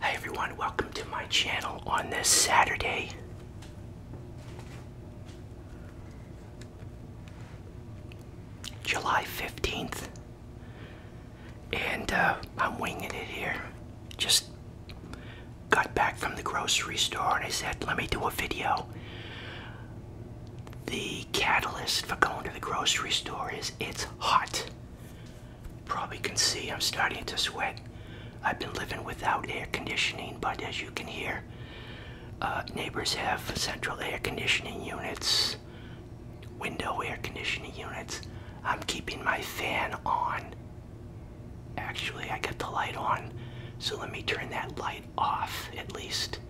Hi everyone, welcome to my channel on this Saturday. July 15th. And uh, I'm winging it here. Just got back from the grocery store and I said, let me do a video. The catalyst for going to the grocery store is it's hot. Probably can see I'm starting to sweat. I've been living without air conditioning, but as you can hear, uh, neighbors have central air conditioning units, window air conditioning units. I'm keeping my fan on. Actually, I got the light on, so let me turn that light off at least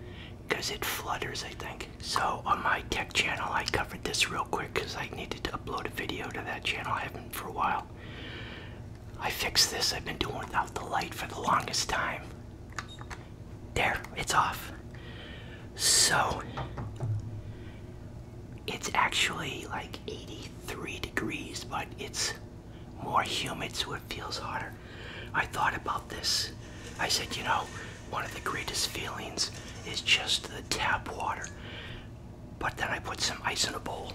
because it flutters, I think. So, on my tech channel, I covered this real quick because I needed to upload a video to that channel. I haven't for a while. I fixed this. I've been doing without the light for the longest time. There, it's off. So, it's actually like 83 degrees, but it's more humid so it feels hotter. I thought about this. I said, you know, one of the greatest feelings is just the tap water. But then I put some ice in a bowl.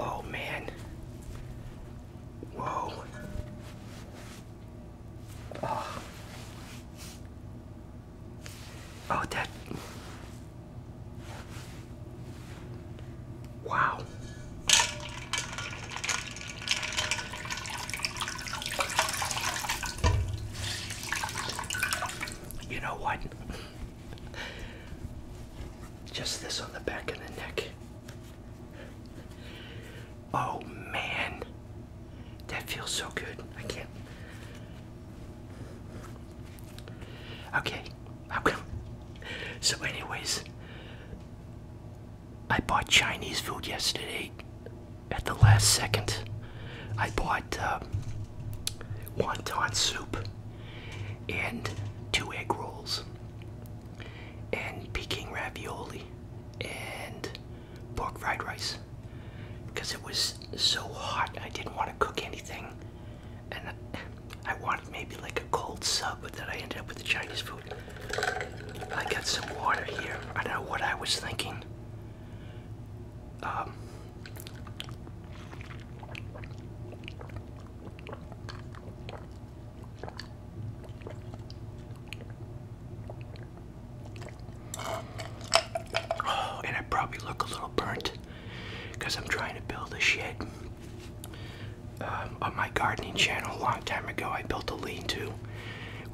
Oh man. Whoa. Oh, oh that. Wow. You know what? Just this on the back of the neck. Oh man, that feels so good. I can't. Okay, how come? So, anyways, I bought Chinese food yesterday at the last second. I bought uh, wonton soup and two egg rolls and Peking ravioli and pork fried rice because it was so hot. I didn't want to cook anything, and I wanted maybe like a cold sub, but then I ended up with the Chinese food. I got some water here. I don't know what I was thinking. Um, Oh, and I probably look a little burnt because I'm trying to build a shed. Um, on my gardening channel a long time ago, I built a lean-to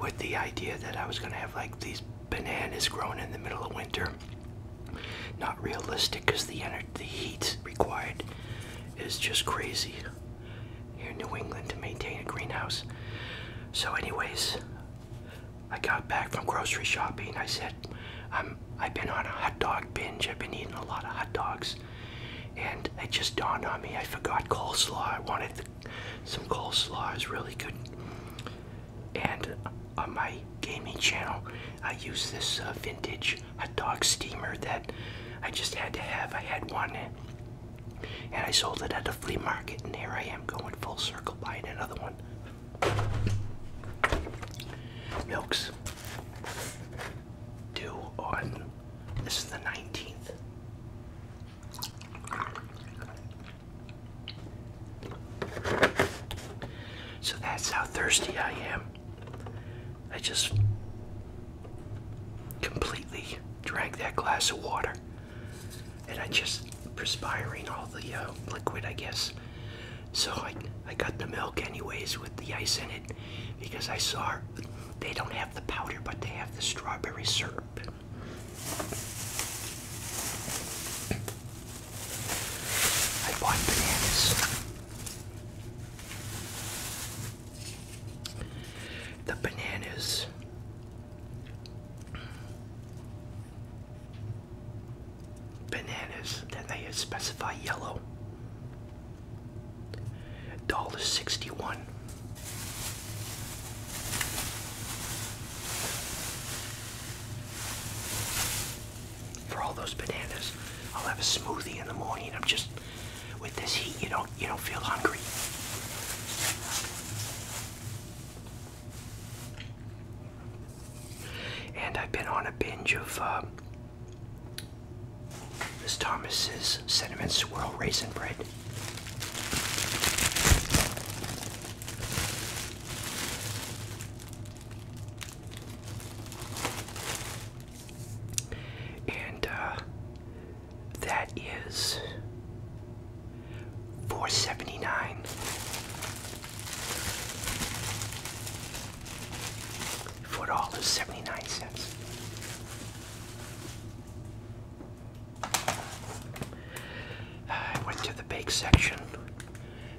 with the idea that I was going to have like these bananas grown in the middle of winter. Not realistic because the, the heat required is just crazy here in New England to maintain a greenhouse. So, anyways, I got back from grocery shopping. I said, i have been on a hot dog binge. I've been eating a lot of hot dogs. And it just dawned on me. I forgot coleslaw. I wanted some coleslaw. It was really good. And on my gaming channel, I use this uh, vintage hot dog steamer that I just had to have. I had one. And I sold it at a flea market, and here I am going full circle buying another one. Milks due on this is the 19th. So that's how thirsty I am. I just completely drank that glass of water and I just perspiring all the uh, liquid, I guess. So I I got the milk anyways with the ice in it because I saw they don't have the powder, but they have the strawberry syrup. I bought bananas. The bananas Bananas, then they specify yellow. Dollar sixty one. For all those bananas, I'll have a smoothie in the morning. I'm just with this heat, you don't you don't feel hungry. And I've been on a binge of uh, Miss Thomas's cinnamon swirl raisin bread. And uh, that is 479. Four dollars seventy nine cents. cents. I went to the bake section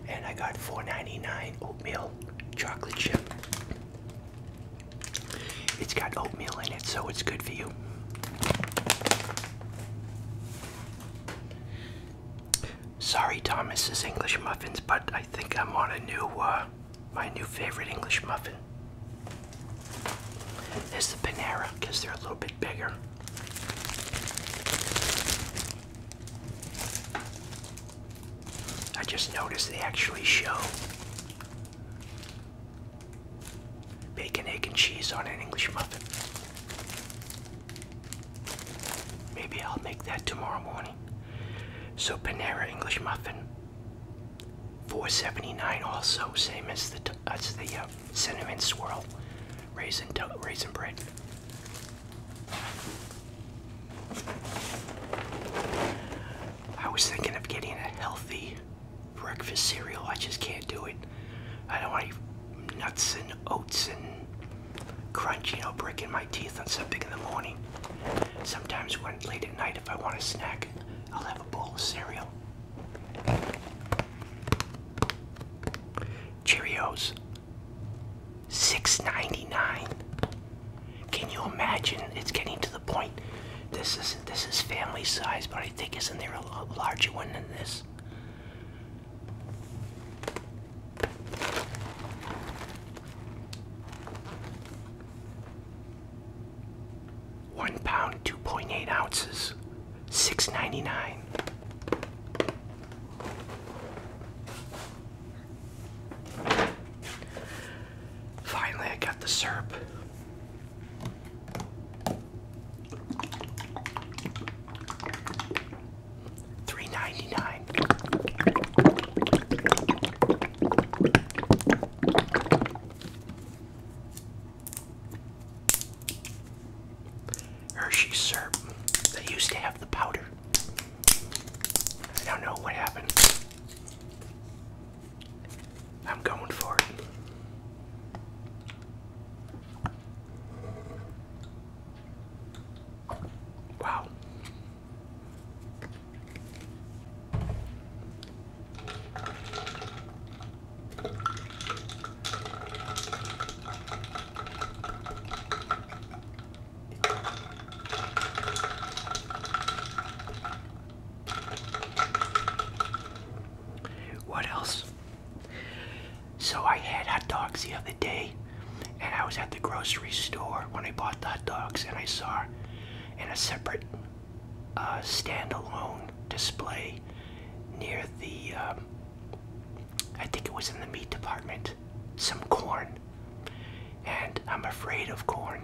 and I got four ninety nine oatmeal chocolate chip. It's got oatmeal in it, so it's good for you. Sorry, Thomas's English muffins, but I think I'm on a new, uh, my new favorite English muffin. Is the Panera because they're a little bit bigger. I just noticed they actually show Bacon, egg, and cheese on an English muffin. Maybe I'll make that tomorrow morning. So Panera English muffin, 4.79. Also, same as the as the uh, cinnamon swirl, raisin raisin bread. I was thinking of getting a healthy breakfast cereal. I just can't do it. I don't want any nuts and oats and crunch, you know, breaking my teeth on something in the morning. Sometimes when late at night, if I want a snack, I'll have a bowl of cereal. Cheerios, Six ninety-nine. Can you imagine? It's getting to the point. This is this is family size, but I think isn't there a larger one than this? One pound, two point eight ounces, six ninety nine. Finally, I got the syrup. Three ninety nine. Hershey syrup. They used to have the powder. I don't know what happened. I'm going for it. Wow. What else? So I had hot dogs the other day, and I was at the grocery store when I bought the hot dogs, and I saw in a separate uh, standalone display near the, um, I think it was in the meat department, some corn. And I'm afraid of corn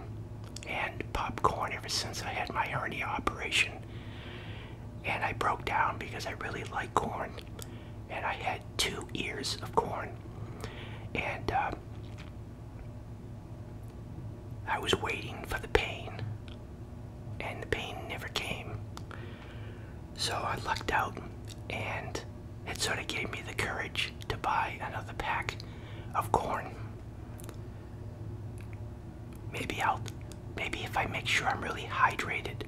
and popcorn ever since I had my hernia operation and I broke down because I really like corn, and I had two ears of corn, and um, I was waiting for the pain, and the pain never came. So I lucked out, and it sort of gave me the courage to buy another pack of corn. Maybe I'll, maybe if I make sure I'm really hydrated,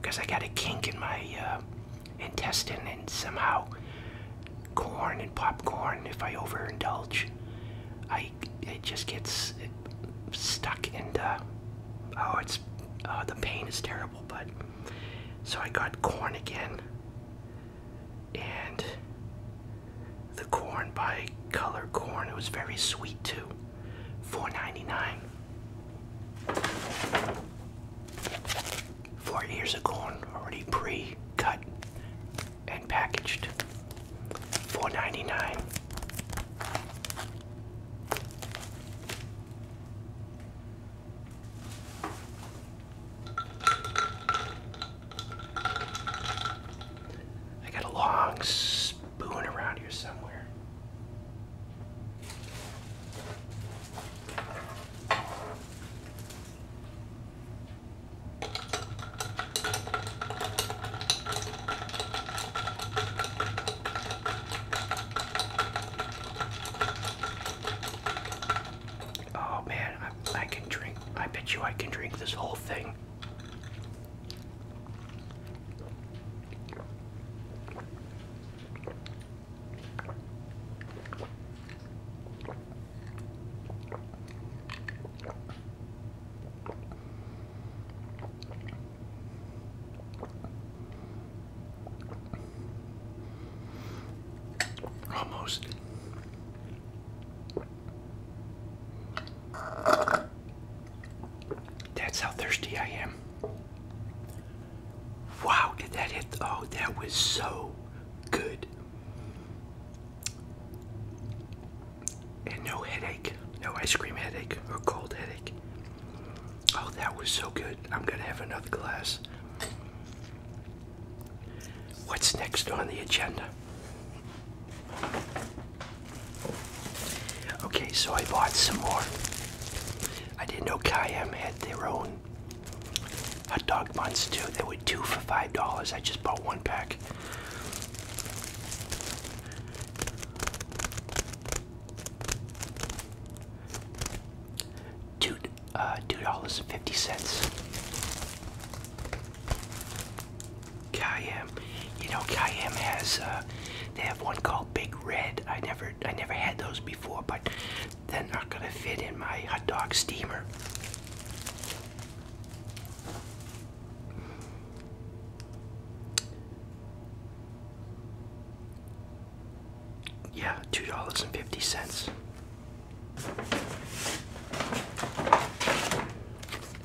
because I got a kink in my uh, intestine, and somehow corn and popcorn, if I overindulge, I it just gets stuck and uh, oh, it's uh, the pain is terrible. But so I got corn again, and the corn by Color Corn. It was very sweet too. Four ninety 4 ears of corn already pre-cut and packaged. 4 I got a long spoon around here somewhere. Oh man, I, can drink. I bet you I can drink this whole thing. Almost that's how thirsty I am. Wow, did that hit? Oh, that was so good. And no headache, no ice cream headache or cold headache. Oh, that was so good. I'm going to have another glass. What's next on the agenda? Okay, so I bought some more. I didn't know Kayam had their own hot dog buns too. They were two for five dollars. I just bought one pack. Two uh, two dollars and fifty cents. Cayenne. You know, Cayenne has uh, they have one called Big Red. I never I never had those before, but they're not gonna fit in my hot dog steamer. Yeah, two dollars and fifty cents.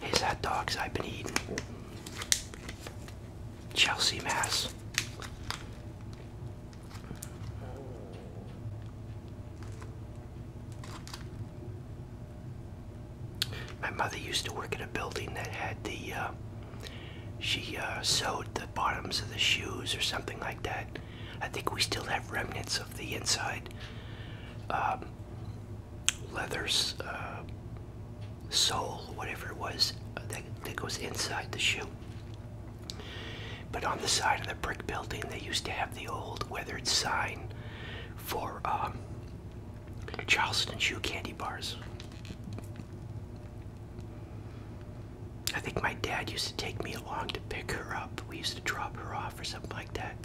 His that dogs I've been eating. Chelsea, Mass. My mother used to work at a building that had the, uh, she uh, sewed the bottoms of the shoes or something like that. I think we still have remnants of the inside. Uh, Leather's um, leather uh, sole, whatever it was, uh, that, that goes inside the shoe. But on the side of the brick building, they used to have the old weathered sign for um, Charleston Shoe Candy Bars. I think my dad used to take me along to pick her up. We used to drop her off or something like that.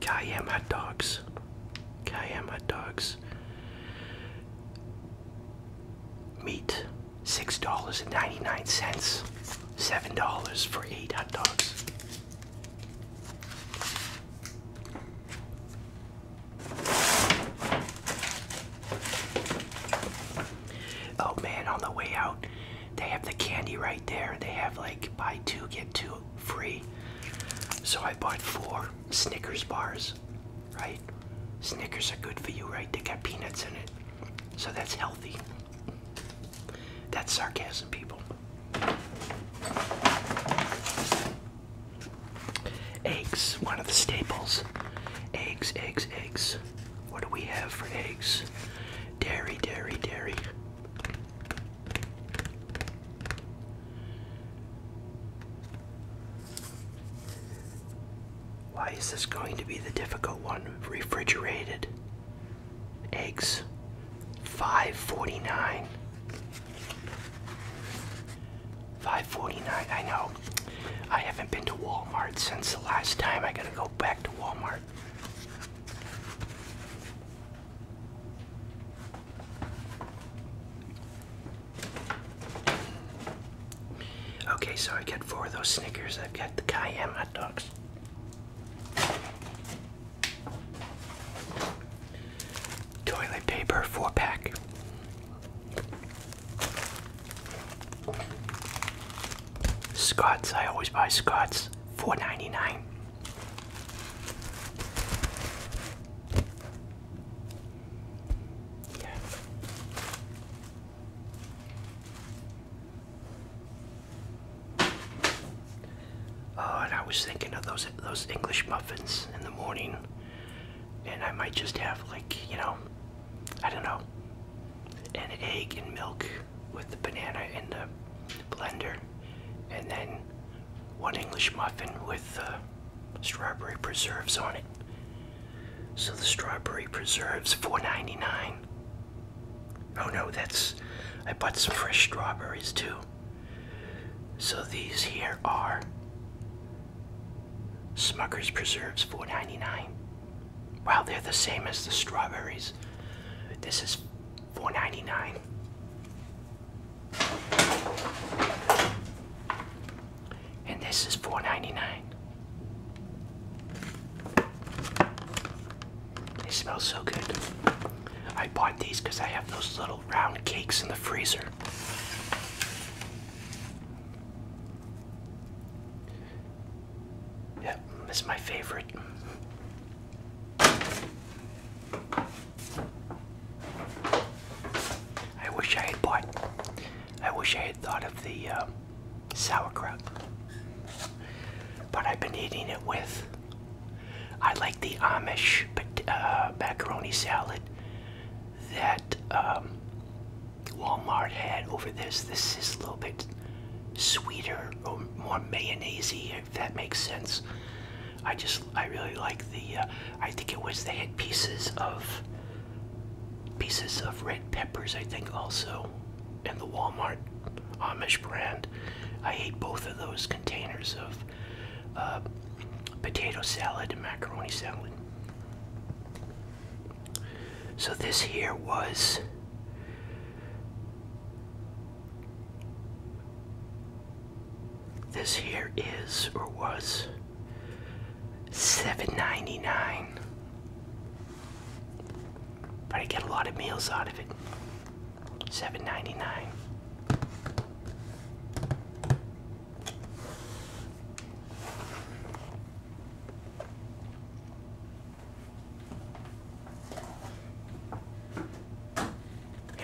Cayenne hot dogs. Cayenne hot dogs. Meat six dollars and ninety nine cents. Seven dollars for eight hot dogs. Oh man, on the way out, they have the candy right there. They have like buy two, get two free. So I bought four Snickers bars, right? Snickers are good for you, right? They got peanuts in it. So that's healthy. That's sarcasm, people. Eggs, one of the staples. Eggs, eggs, eggs. What do we have for eggs? Dairy, dairy, dairy. Why is this going to be the difficult one? Refrigerated eggs 549 549 I know I haven't been to Walmart since the last time I gotta go back to Walmart Okay, so I got four of those Snickers. I've got the Cayenne hot dogs. Toilet paper, four pack. Scott's. I always buy Scott's. Four ninety nine. Yeah. Oh, and I was thinking of those those English muffins in the morning, and I might just have like you know, I don't know, an egg and milk with the banana in the blender, and then one English muffin with uh, strawberry preserves on it. So the strawberry preserves $4.99. Oh no, that's I bought some fresh strawberries too. So these here are Smucker's Preserves $4.99. Wow, they're the same as the strawberries. This is four ninety nine, And this is four ninety nine. They smell so good. I bought these because I have those little round cakes in the freezer. Yeah, it's my favorite. I wish I had bought. I wish I had thought of the uh, sauerkraut, but I've been eating it with. I like the Amish uh, macaroni salad that um, Walmart had over this. This is a little bit sweeter more mayonnaisey, if that makes sense. I just, I really like the, uh, I think it was they had pieces of, pieces of red peppers, I think also, and the Walmart Amish brand. I ate both of those containers of uh, potato salad and macaroni salad. So this here was this here is or was seven ninety nine. dollars 99 But I get a lot of meals out of it. Seven ninety nine.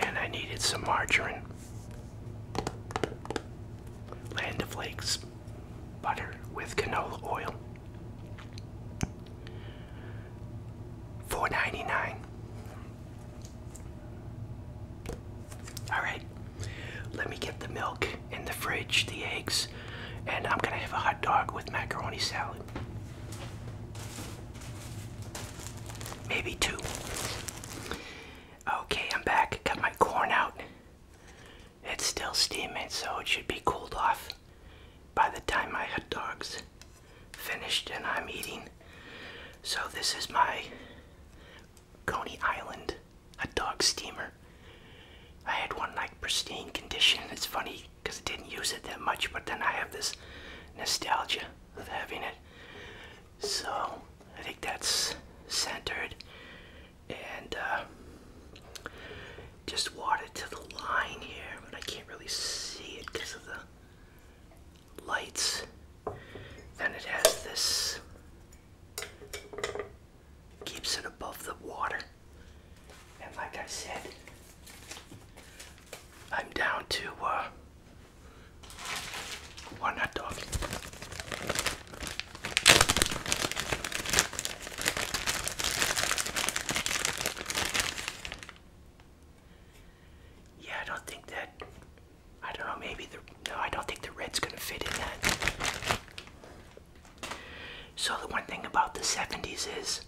And I needed some margarine, Land of Lakes butter with canola oil. $4.99. Alright, let me get the milk in the fridge, the eggs, and I'm gonna have a hot dog with macaroni salad. Maybe two. Okay, I'm back. Got my corn out. It's still steaming, so it should be cooled off by the time my hot dog's finished and I'm eating. So this is my Coney Island hot dog steamer. I had one like pristine condition. It's funny because I didn't use it that much, but then I have this nostalgia of having it. So I think that's centered and uh, just water to the line here, but I can't really see it because of the lights. Then it has this, keeps it above the water. And like I said, I'm down to uh, one hot dog. Yeah, I don't think that. I don't know. Maybe the no. I don't think the red's gonna fit in that. So, the one thing about the 70s is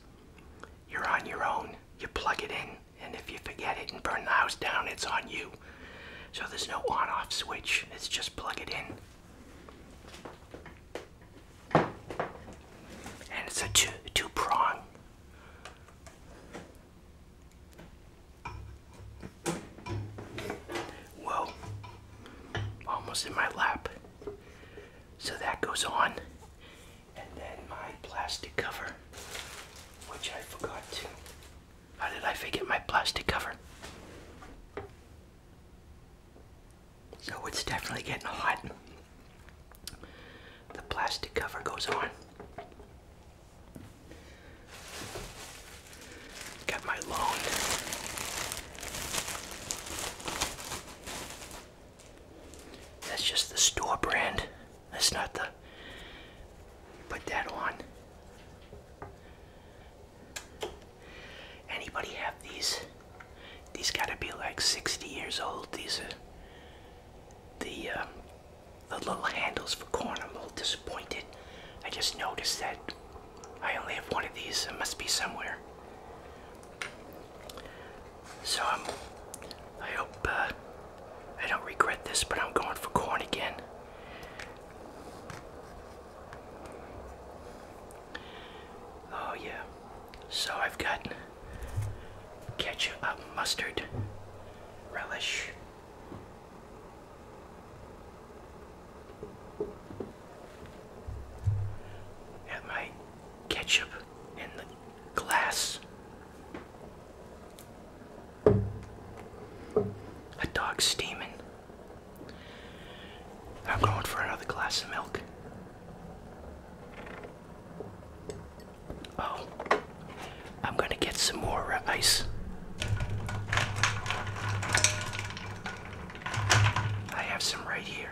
you're on your own, you plug it in, and if you forget it and burn the house down, it's on you. So, there's no on off switch, it's just plug it in. And it's a two, prong. Whoa, almost in my lap. So that goes on. And then my plastic cover, which I forgot to. How did I forget my plastic cover? So it's definitely getting hot. The plastic cover goes on. Got my loan. That's just the store brand. That's not the. Put that on. Anybody have these? These gotta be like 60 years old. These are the um, the little handles for corn. I'm a little disappointed. I just noticed that I only have one of these. It must be somewhere. So I'm, um, I hope uh, I don't regret this, but I'm going for corn again. Oh yeah. So I've got ketchup, uh, mustard, relish. Had my ketchup in the glass. A dog steaming. I'm going for another glass of milk. Oh, I'm going to get some more ice. I have some right here.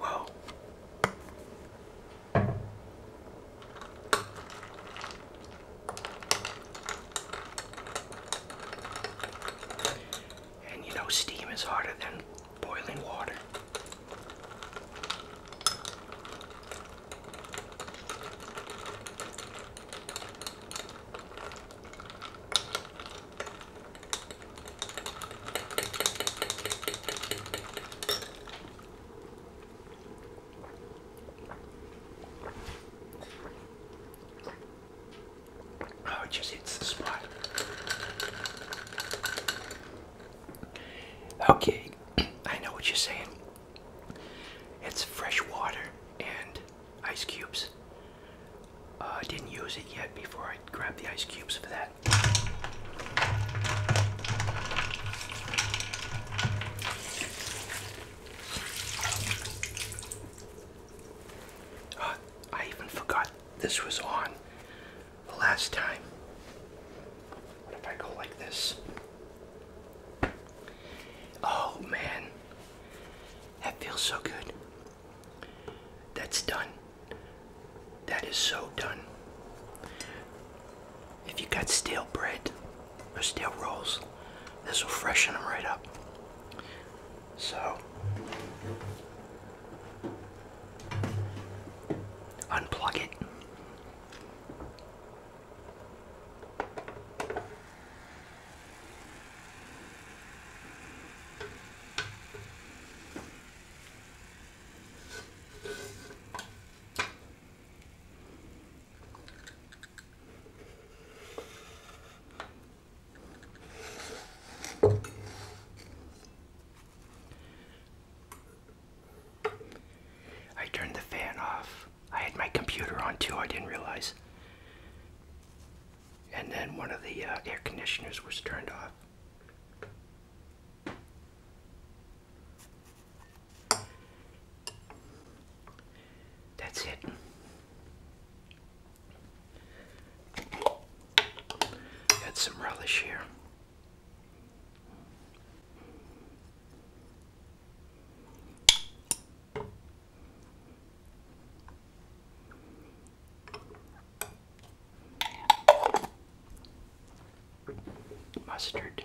Whoa. And you know, steam is harder than boiling water. Oh, it just hits the spot. Okay, I know what you're saying. It's fresh water and ice cubes. I uh, didn't use it yet before I grabbed the ice cubes for that. Uh, I even forgot this was on the last time. What if I go like this? Oh man, that feels so good. That's done. That is so done. If you got stale bread or stale rolls, this will freshen them right up. So, unplug it. I turned the fan off. I had my computer on too, I didn't realize. And then one of the uh, air conditioners was turned off. That's it. Got some relish here. Mustard.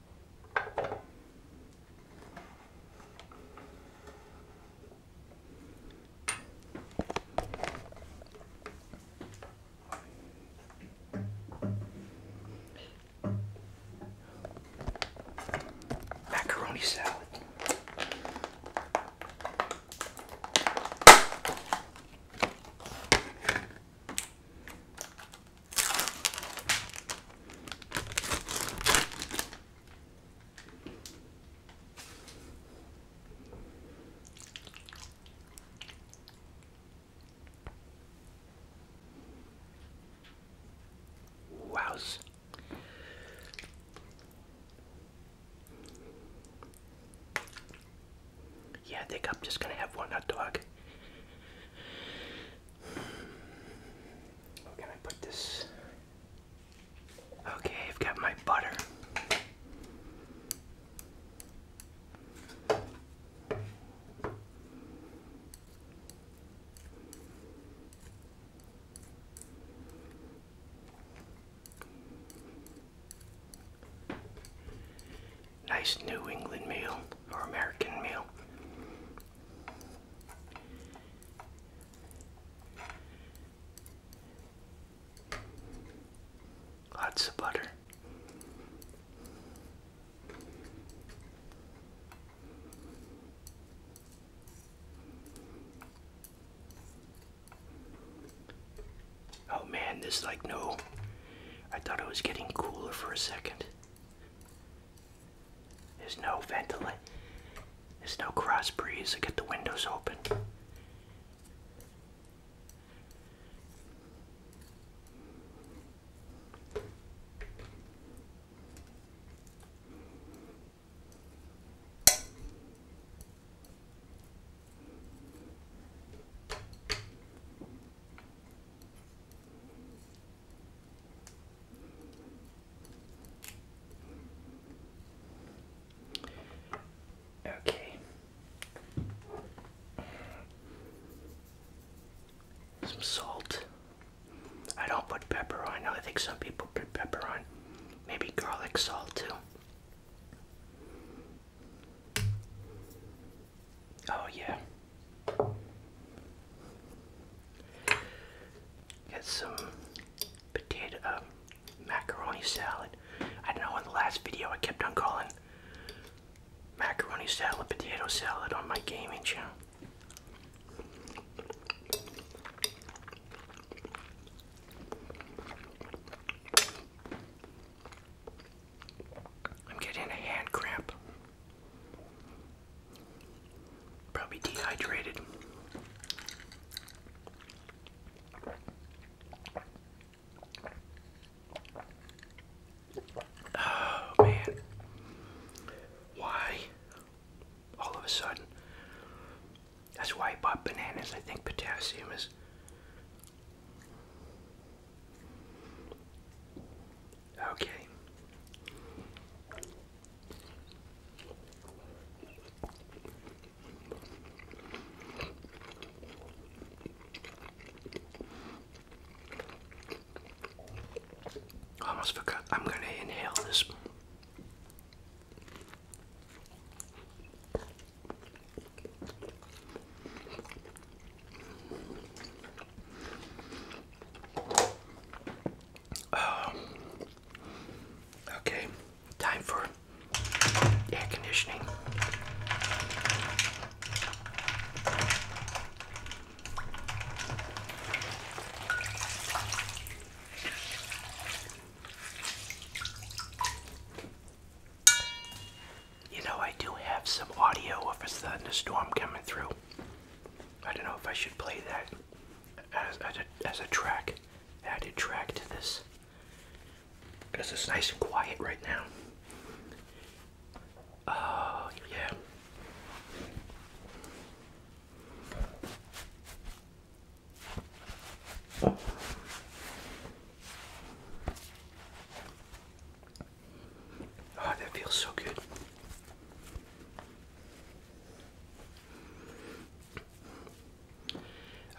macaroni salad. Wows. Yeah, I just gonna have one hot dog. Where can I put this? Okay, I've got my butter. Nice New England meal or American meal. Lots of butter. Oh man, this like no. I thought it was getting cooler for a second. There's no ventilation. There's no cross breeze to get the windows open. Okay. Some salt. I don't put pepper on. I think some people put pepper on. Maybe garlic salt too. Oh, yeah. Get some potato uh, macaroni salad. I know in the last video I kept on calling macaroni salad potato salad on my gaming channel. I'm getting a hand cramp. Probably dehydrated. Oh man. Why? All of a sudden. That's why I bought bananas. I think potassium is Okay. almost forgot. I'm going to inhale this. Um, okay, time for air conditioning. You know, I do have some audio of a thunderstorm coming through. I don't know if I should play that as, a, track, added track to this. Because it's nice and quiet right now. Oh, yeah. Oh, that feels so good.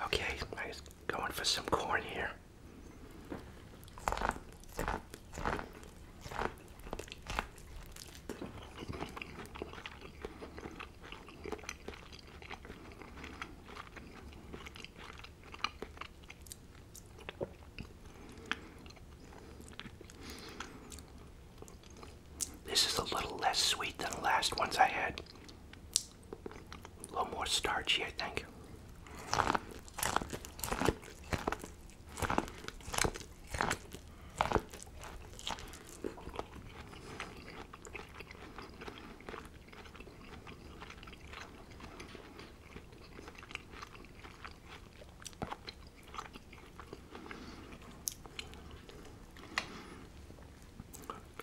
Okay, I'm going for some corn here. This is a little less sweet than the last ones I had. A little more starchy, I think.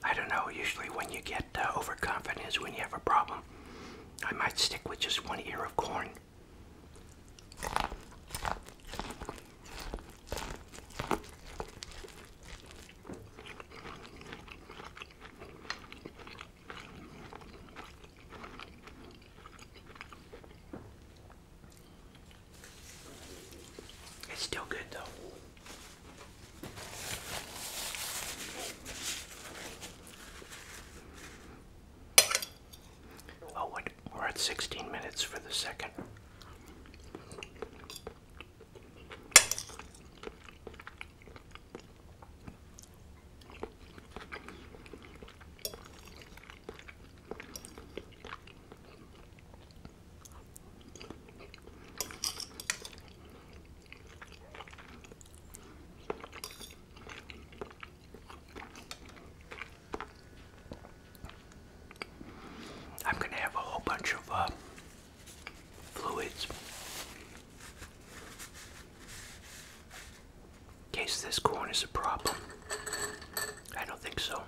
I don't know, usually when you get uh, when you have a problem. I might stick with just one ear of corn. It's still good though. Oh, We're at 16 minutes for the second. I'm going to have a whole bunch of uh, fluids. In case this corn is a problem. I don't think so.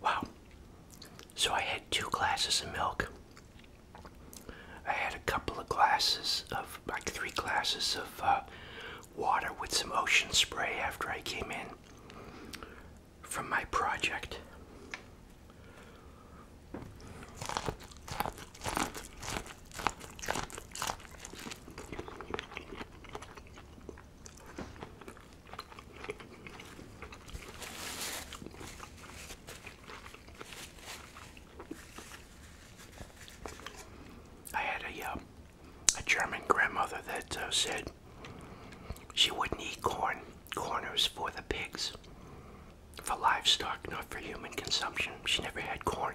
Wow. So I had two glasses of milk I had a couple of glasses of, like three glasses of uh, water with some ocean spray after I came in from my project. I had a uh, a German grandmother that uh, said she wouldn't eat corn. Corn was for the pigs, for livestock, not for human consumption. She never had corn.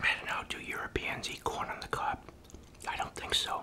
I don't know, do Europeans eat corn on the cob? I don't think so.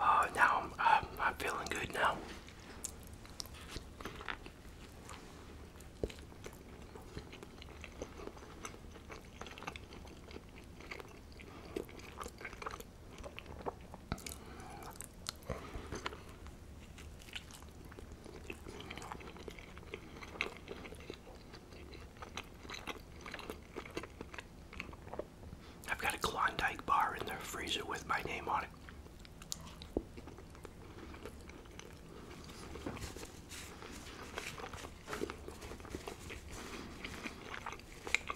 Oh, now I'm, I'm feeling good now. I've got a Klondike bar in the freezer with my name on it.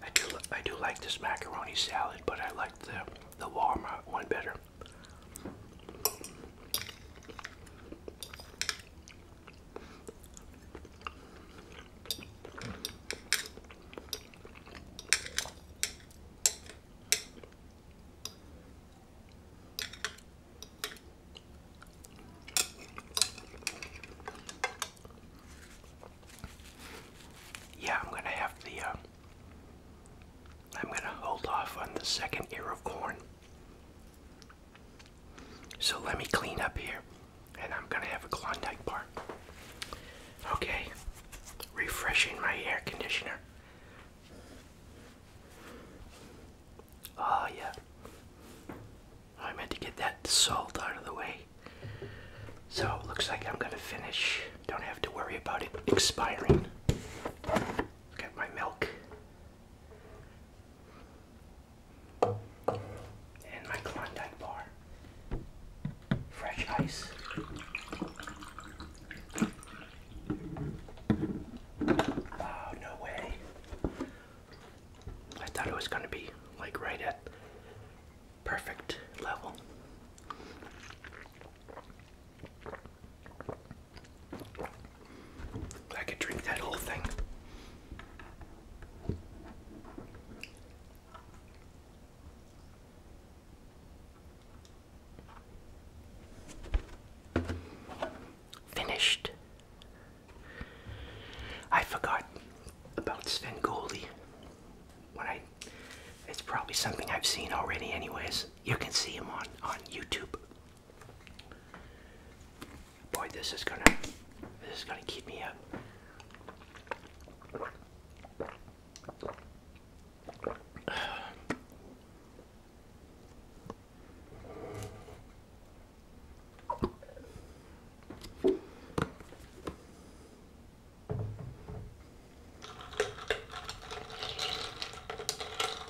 I do I do like this macaroni salad, but I like the the Walmart one better. Yeah, I'm gonna have the. Uh, I'm gonna hold off on the second ear of corn so let me clean up here and I'm gonna have a Klondike bar. Okay, refreshing my air conditioner. Oh, yeah. I meant to get that salt out of the way. So it looks like I'm gonna finish. Don't have to worry about it expiring. Got my milk. And my Klondike Fresh ice. Oh, no way. I thought it was going to be like right at perfect level. I could drink that whole thing. Finished. I forgot about Svengoolie. When I, it's probably something I've seen already. Anyways, you can see him on on YouTube. Boy, this is gonna this is gonna keep me up.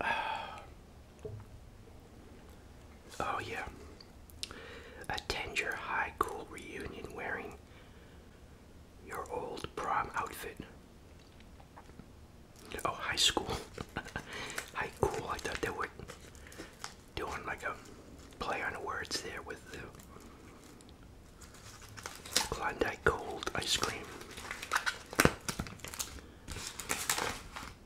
Oh, yeah. Attend your high school reunion wearing your old prom outfit. Oh, high school. high school. I thought they were doing like a play on words there with the Klondike cold ice cream.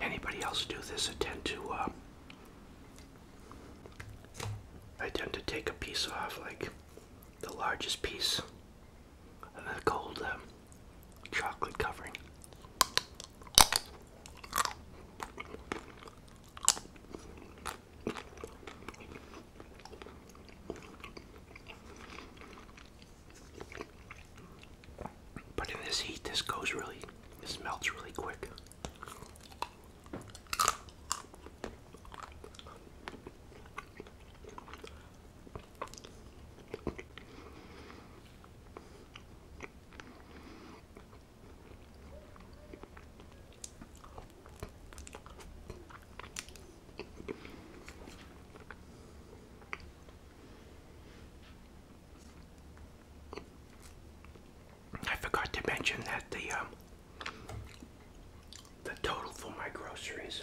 Anybody else do this? I tend to, uh, I tend to take a piece off, like the largest piece, and then go them. Um, chocolate covering. But in this heat, this goes really, this melts really quick. I forgot to mention that the um, the total for my groceries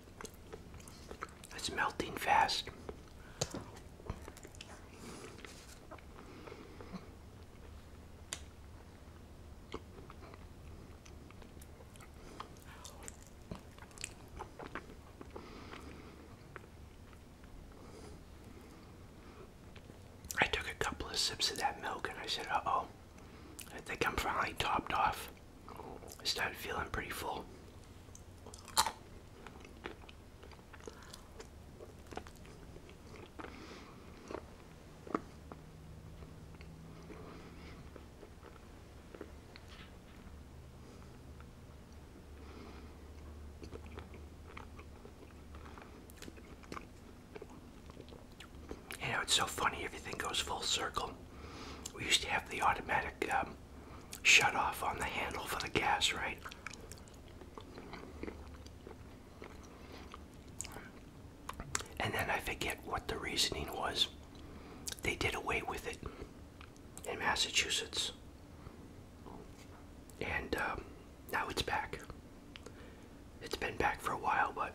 It's melting fast. I took a couple of sips of that milk and I said, uh oh, I think I'm finally topped off. I started feeling pretty full. You know, it's so funny, everything goes full circle. We used to have the automatic um, shut off on the handle for the gas, right? And then I forget what the reasoning was. They did away with it in Massachusetts. And um, now it's back. It's been back for a while, but.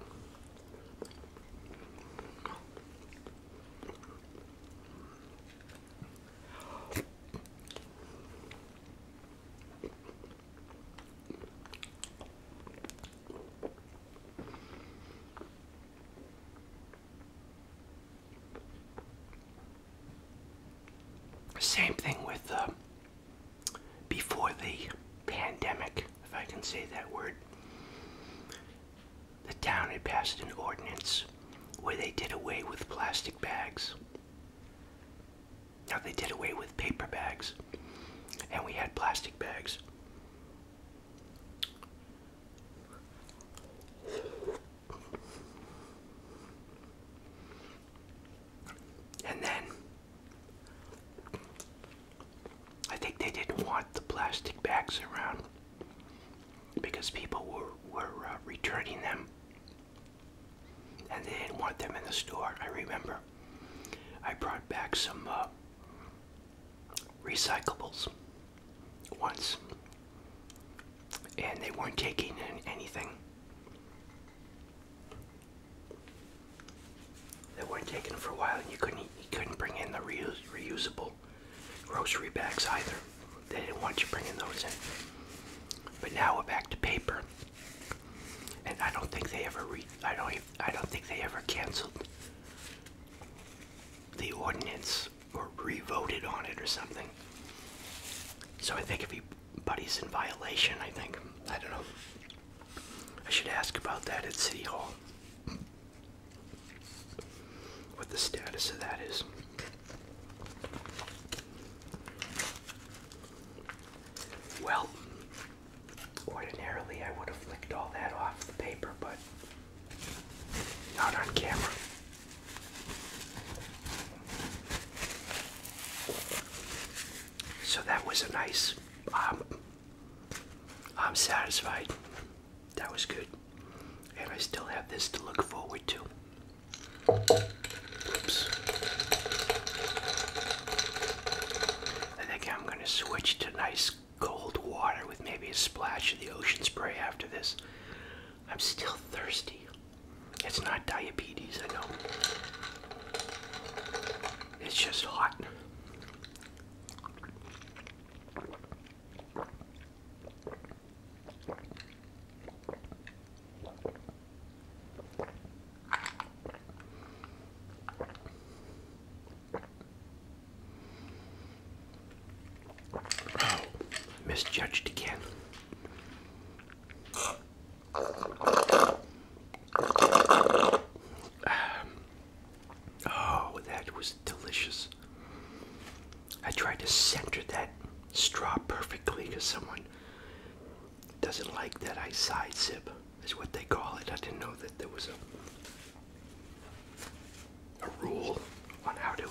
Same thing with uh, before the pandemic, if I can say that word the town had passed an ordinance where they did away with plastic bags. Now they did away with paper bags, and we had plastic bags. And then I think they didn't want the plastic bags around because people were, were uh, returning them and they didn't want them in the store. I remember I brought back some uh, recyclables once and they weren't taking in anything. They weren't taken for a while, and you couldn't you couldn't bring in the reus reusable grocery bags either. They didn't want you bringing those in. But now we're back to paper. And I don't think they ever I don't even, I don't think they ever canceled the ordinance or re-voted on it or something. So I think everybody's in violation, I think I don't know. I should ask about that at City Hall what the status of that is. Well, ordinarily I would have licked all that off the paper, but not on camera. So that was a nice. Um, I'm satisfied that was good. And I still have this to look forward to. I think I'm going to switch to nice cold water with maybe a splash of the ocean spray after this. I'm still thirsty. It's not diabetes, I know. It's just hot. Oh, misjudged again. Um, oh, that was delicious. I tried to center that straw perfectly because someone doesn't like that I side sip, is what they call it. I didn't know that there was a, a rule on how to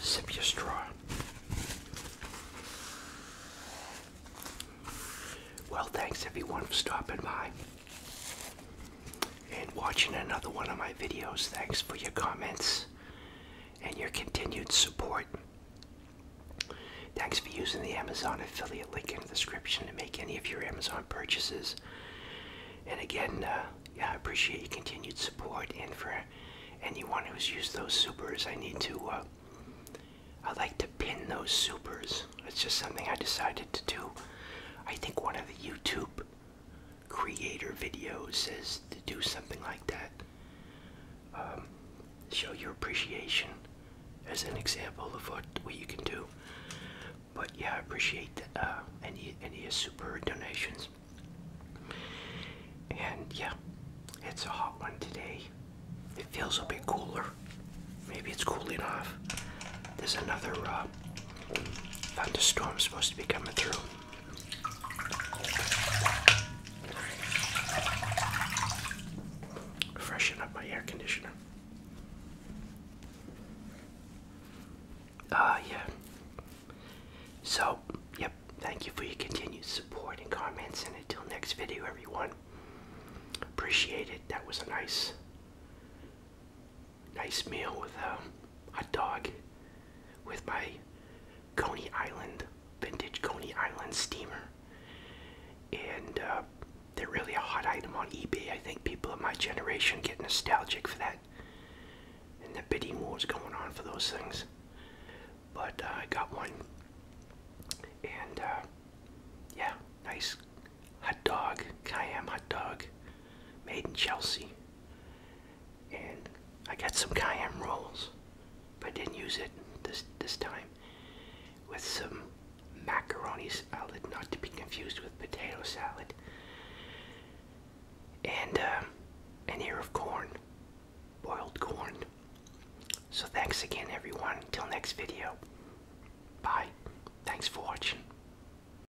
sip your straw. Well, thanks everyone for stopping by and watching another one of my videos. Thanks for your comments and your continued support. Thanks for using the Amazon affiliate link in the description to make any of your Amazon purchases. And again, uh, yeah, I appreciate your continued support. And for anyone who's used those supers, I need to, uh, I like to pin those supers. It's just something I decided to do. I think one of the YouTube creator videos is to do something like that. Um, show your appreciation as an example of what, what you can do. But yeah, I appreciate uh, any, any super donations. And yeah, it's a hot one today. It feels a bit cooler. Maybe it's cooling off. There's another uh, Thunderstorm supposed to be coming through. Freshen up my air conditioner. Ah, yeah. So, yep, thank you for your continued support and comments, and until next video, everyone. Appreciate it. That was a nice nice meal with um, a hot dog with my Coney Island, vintage Coney Island steamer. And uh, they're really a hot item on eBay. I think people of my generation get nostalgic for that. And the bidding war's going on for those things. But uh, I got one. And uh, yeah, nice hot dog, Cayenne hot dog, made in Chelsea. And I got some cayenne rolls, but didn't use it this this time. With some macaroni salad, not to be confused with potato salad, and uh, an ear of corn, boiled corn. So thanks again, everyone. Until next video. Bye. Thanks for watching.